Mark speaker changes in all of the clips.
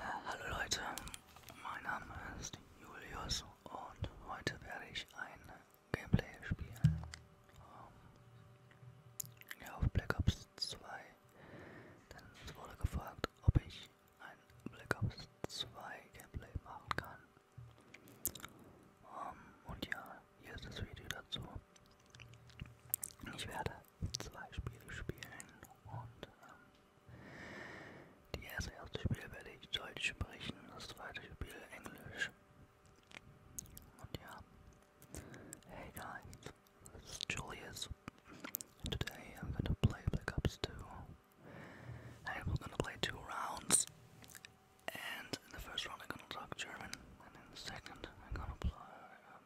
Speaker 1: Hallo Leute, mein Name ist Julius und heute werde ich ein Gameplay spielen. Um, ähm, ja, auf Black Ops 2. Denn es wurde gefragt, ob ich ein Black Ops 2 Gameplay machen kann. Um, ähm, und ja, hier ist das Video dazu. Ich werde zwei Spiele spielen und ähm, die erste, erste Spiel werde ich Deutsch sprechen, das zweite Spiel Englisch. Und ja, hey guys, this is Julius. Today I'm gonna play Black Ops 2. and we're gonna play two rounds. And in the first round, I'm gonna talk German, and in the second, I'm gonna play, um,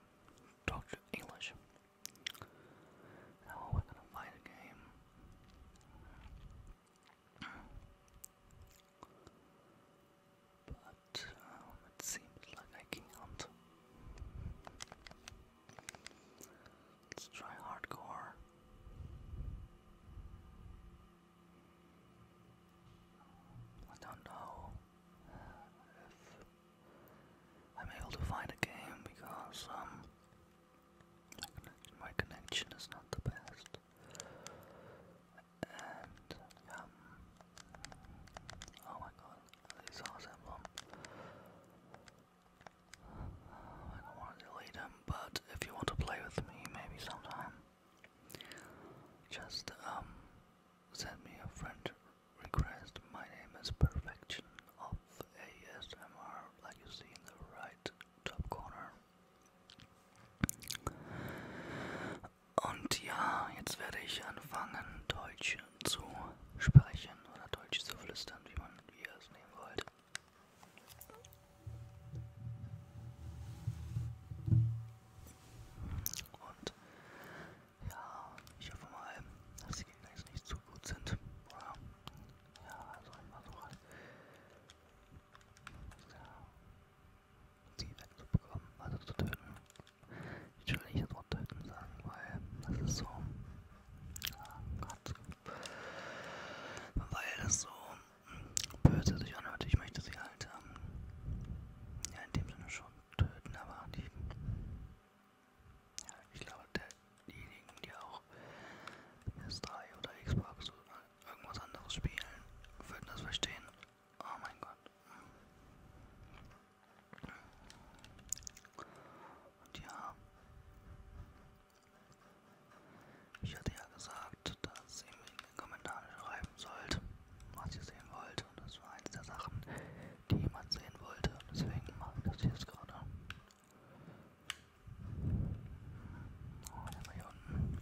Speaker 1: talk English. Now we're gonna find a game. But um, it seems like I can't. Let's try hardcore. I don't know if I'm able to find a game because um, my connection is not the best. And um, oh my god, these are awesome. I don't want to delete them but if you want to play with me, maybe sometime, just um, send me a friend request. My name is Perfection of ASMR, like you see in the right top corner. Und ja, jetzt werde ich anfangen, Deutsch zu sprechen oder Deutsch zu flüstern, wie man wie ihr wollt. Und ja, ich hoffe mal, dass die Gegner jetzt nicht zu gut sind. Oder? Ja, also immer so halt. Ja, die wegzubekommen, also zu töten. Ich will nicht das Wort töten sagen, weil das ist so. Ja, Gott. Weil das so böse sich anhört. Ich möchte sie halt, ähm, ja, in dem Sinne schon töten, aber die, ja, ich glaube, der, diejenigen, die auch PS3 oder Xbox oder irgendwas anderes spielen, würden das verstehen. Oh mein Gott. Und ja, ich hatte ja gesagt, dass ihr mir in den Kommentaren schreiben sollt, was ihr sehen wollt. Und das war eins der Sachen, die man sehen wollte. Deswegen mache ich das jetzt gerade. Und oh, immer hier unten.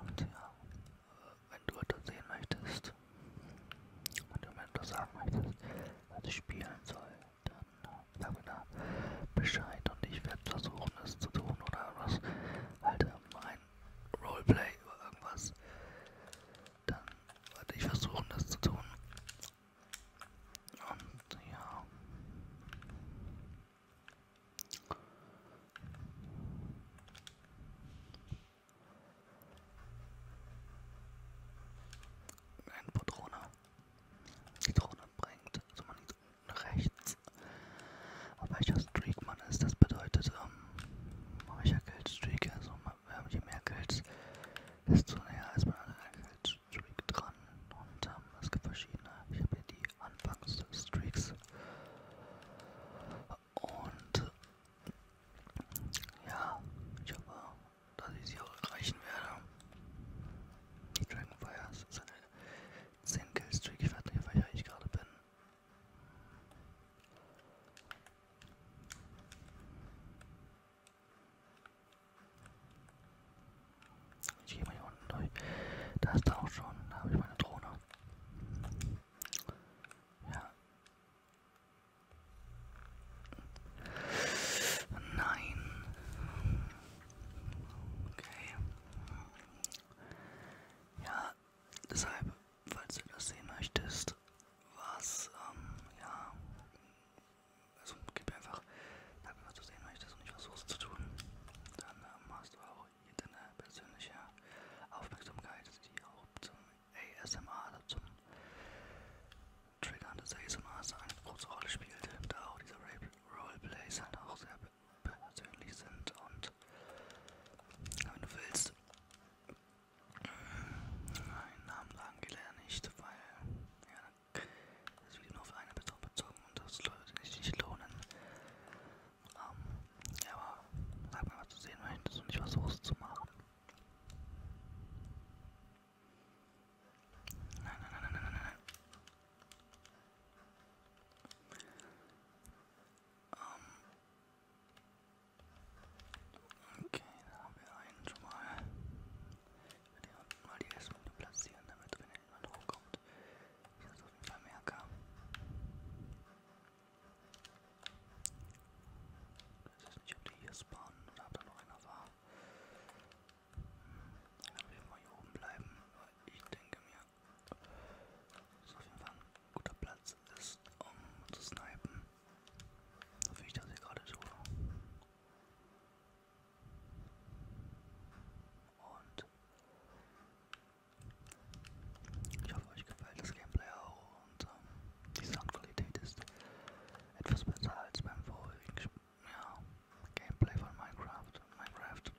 Speaker 1: Und ja, äh, wenn du etwas sehen möchtest, wenn du mir etwas sagen möchtest, was ich spielen soll, dann äh, sag mir da Bescheid und ich werde versuchen, es zu tun oder was. Halt mein ähm, Roleplay oder irgendwas. Dann werde ich versuchen, das zu tun. Und ja. Ein Patrone. Die Drohne bringt. Also man liegt unten rechts. Auf welcher Streak man ist, das bedeutet, ähm, auf welcher Geldstreak, also je mehr Geld, desto näher ist man an der Geldstreak dran. Und ähm, es gibt verschiedene. Ich habe hier die Anfangsstreaks. Und äh, ja, ich hoffe, dass ich sie auch erreichen werde. Die Dragonfires sind 10 Killstreak. Ich weiß nicht, auf welcher ich gerade bin. Ich gehe mal hier unten durch. Da ist er auch schon. Da habe ich meine Drohne. Ja. Nein. Okay. Ja, deshalb, falls du das sehen möchtest, was, ähm, ja, also gib einfach, sag mir, was du sehen möchtest und ich versuch's zu tun. Dann ähm, hast du auch hier deine persönliche Aufmerksamkeit, die auch zum ASMR, also zum Triggern des ASMRs eine große Rolle spielt, da auch dieser Rape Roleplays halt auch sehr persönlich sind und wenn du willst, äh, einen Namen sagen geht er nicht, weil ja, das Video nur auf eine Person bezogen und das sollte sich nicht lohnen. Ähm, ja, aber sag mal, was du sehen möchtest und ich versuch's zu machen. Nein, nein, nein, nein, nein, nein, nein. Um. Okay, da haben wir einen schon mal. Ich werde hier unten mal die S-Punkte platzieren, damit wenn jemand hochkommt, ich das auf jeden Fall merke. Ich weiß nicht, ob die hier spawnen oder ob da noch einer war. Wenn wir mal hier oben bleiben, aber ich denke mir, dass auf jeden Fall ein guter Platz ist, um zu snipen. So wie ich das hier gerade tue. Und ich hoffe, euch gefällt das Gameplay auch und ähm, die Soundqualität ist etwas besser als beim vorherigen Spiel ja, Gameplay von Minecraft. Minecraft.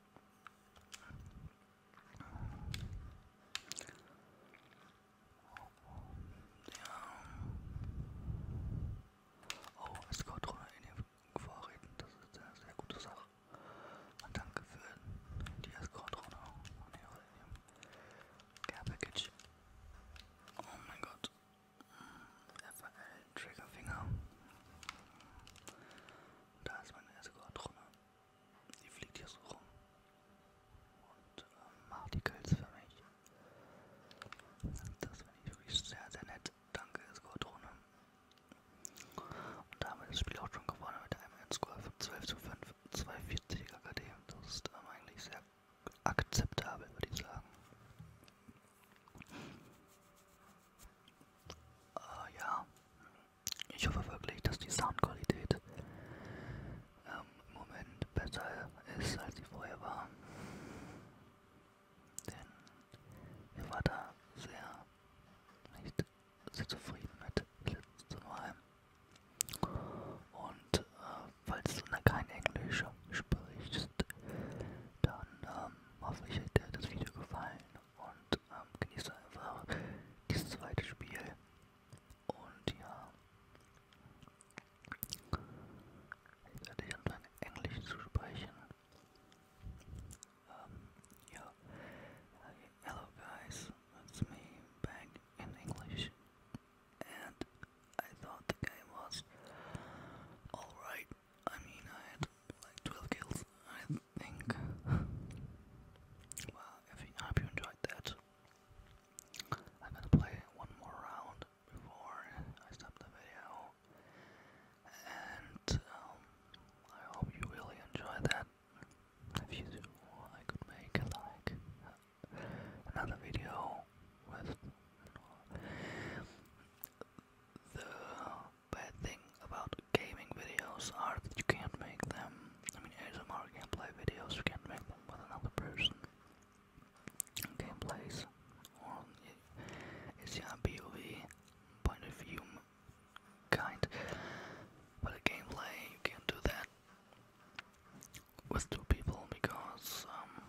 Speaker 1: Ja. Oh, es kommt runter in den Vorräten. Das ist eine sehr gute Sache. Und danke für die Escort-Runde und ihre Care-Package. Oh mein Gott. FL Triggerfinger. Da ist meine erste Goldrunde. Die fliegt hier so rum und äh, macht die Kills für mich. Das finde ich wirklich sehr, sehr nett. Danke, Eskortrone. Und da haben wir das Spiel auch schon gewonnen mit einem Endscore von 12 zu 5, 240 KKD. Das ist ähm, eigentlich sehr akzeptabel, würde ich sagen. Äh, ja, ich hoffe wirklich, dass die Soundqualität ähm, im Moment besser ist, als sie vorher war. Denn ich war da sehr nicht sehr zufrieden mit letztes Mal. Und äh, falls du da kein Englisch sprichst, dann ähm, hoffe ich, hat dir das Video gefallen und ähm, genieße einfach dieses zweite Spiel. Und ja, jetzt werde ich anfangen Englisch zu sprechen. Um, ähm, ja, uh, hello guys, it's me back in English. And I thought the game was alright. I mean, I had like 12 kills, I think. Well, I hope you enjoyed that. I'm gonna play one more round before I stop the video. And um, I hope you really enjoy that. If you do, I could make like another video with the bad thing about gaming videos are that you can't make them. I mean, ASMR gameplay videos, you can't make them with another person. Gameplays, or it's yeah, POV point of view kind, but a gameplay you can't do that with two people because um,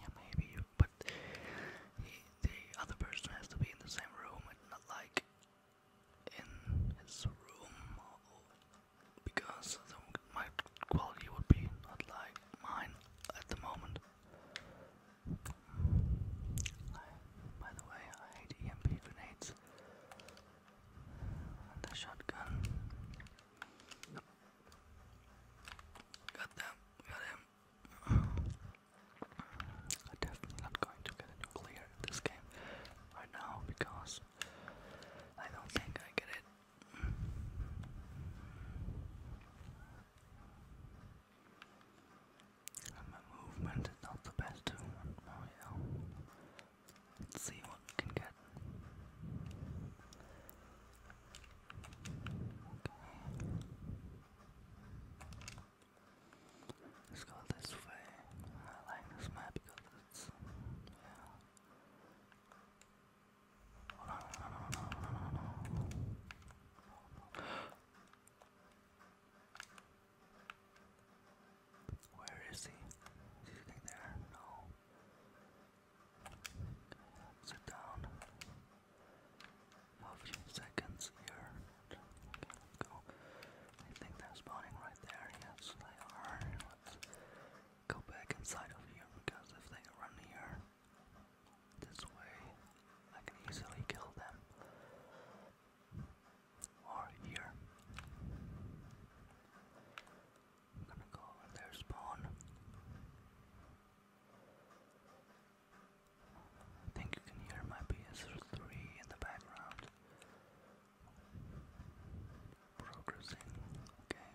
Speaker 1: yeah maybe you but the other person has to be in the same room not like in his room because the, my quality would be not like mine at the moment. by the way, I hate EMP grenades and the shotgun. Got them, got him. I'm definitely not going to get a nuclear in this game right now because I don't think I get it. my movement is not the best too. Let's see what we can get. Let's go this way. I like this map because it's Where is he? Is he there? No. Sit down. Move seconds here. I think they're spawning right there. Yes, they are. go back inside of here because if they run here this way, I can easily kill them. Or here. I'm gonna go over their spawn. I think you can hear my PS3 in the background progressing. Okay.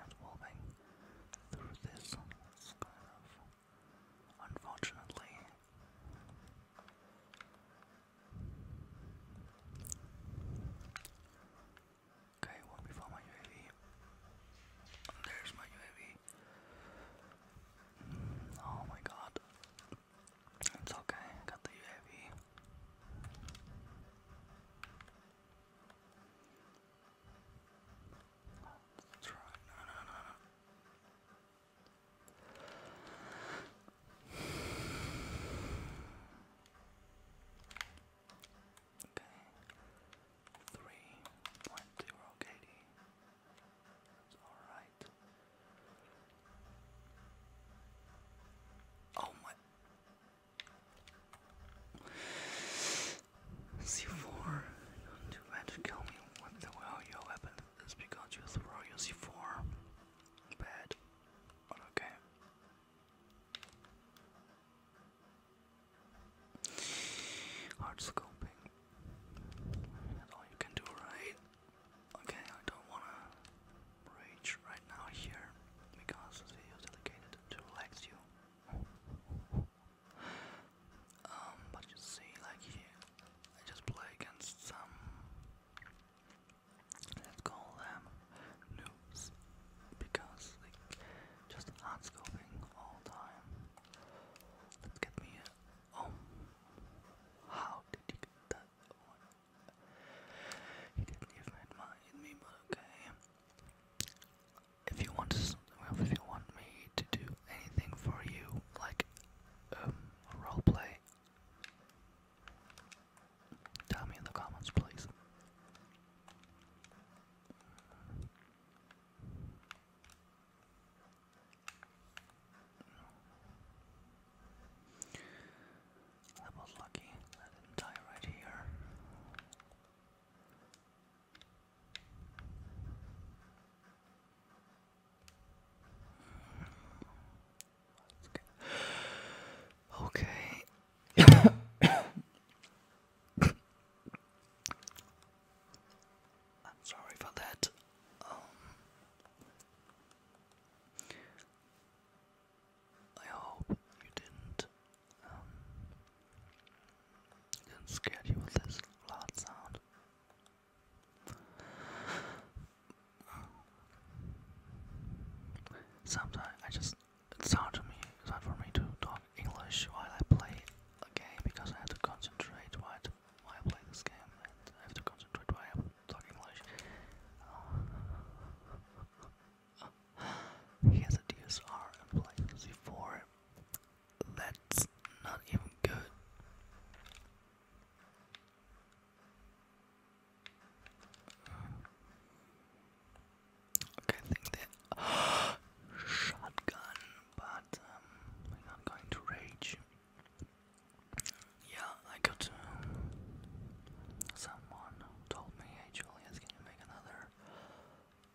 Speaker 1: I through this. kind of unfortunately Okay, one before my UAV. There's my UAV. Oh my god. It's okay, I got the UAV. Let's try. No, no, no, no. Okay. Three point zero KD. It's alright. Oh my C4, don't to kill me. What your weapon is because you throw your C4. Bad. okay. Hard scoping. That's all you can do, right? Okay, I don't wanna rage right now here because the video is dedicated to relax you. Um, but you see, like here, I just play against some let's call them noobs because they just hard scoping all time. Let's get me a oh how did you get that one? He didn't even admire me but okay. If you want well, if you want me to do anything for you, like um roleplay Tell me in the comments, please. That was lucky. That didn't die right here. Okay. I'm sorry for that. Um, I hope you didn't didn't scare you with this loud sound. Sometimes I just it's hard to me it's hard for me to talk English while I play a game because I have to concentrate while I, play this game and I have to concentrate while I talk English. Uh, he has a DSR and playing c That's not even good. Okay, I think that shotgun, but I'm um, not going to rage. Yeah, I got uh, someone told me hey Julius, can you make another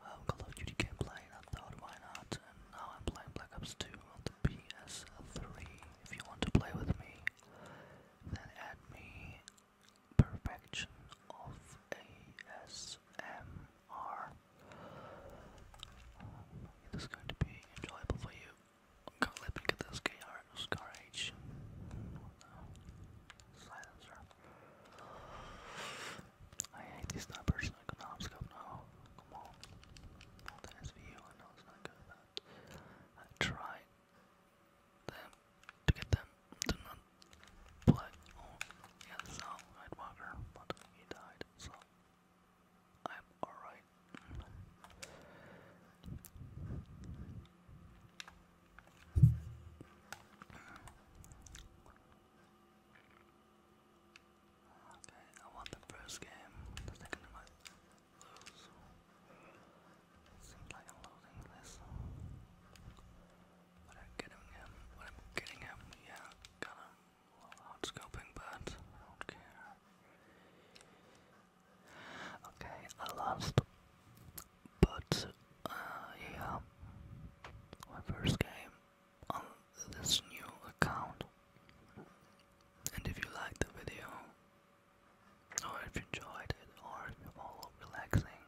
Speaker 1: um, Call of Duty gameplay? And I thought, why not? And now I'm playing Black Ops 2 on the PS3. If you want to play with me, then add me perfection of ASMR. Um, going to be enjoyable for you. let me get this KR Scar H silencer. I hate these numbers. I scope now. Come on. Not the SVU. I know it's not good. But I tried them to get them to not play. Oh, yeah, so Nightwalker, but he died, so I'm alright. Okay, I won the first game, Seems like I'm losing this. But I'm getting him. But I'm getting him. Yeah, got him. Loud but I don't care. Okay, I lost. But, yeah. My first game on this new account. And if you like the video, or oh, if you enjoyed it, or if you found it relaxing,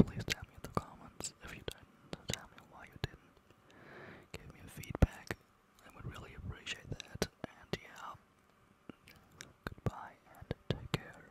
Speaker 1: please tell me in the comments. If you didn't, tell me why you didn't. Give me feedback. I would really appreciate that. And yeah, goodbye and take care.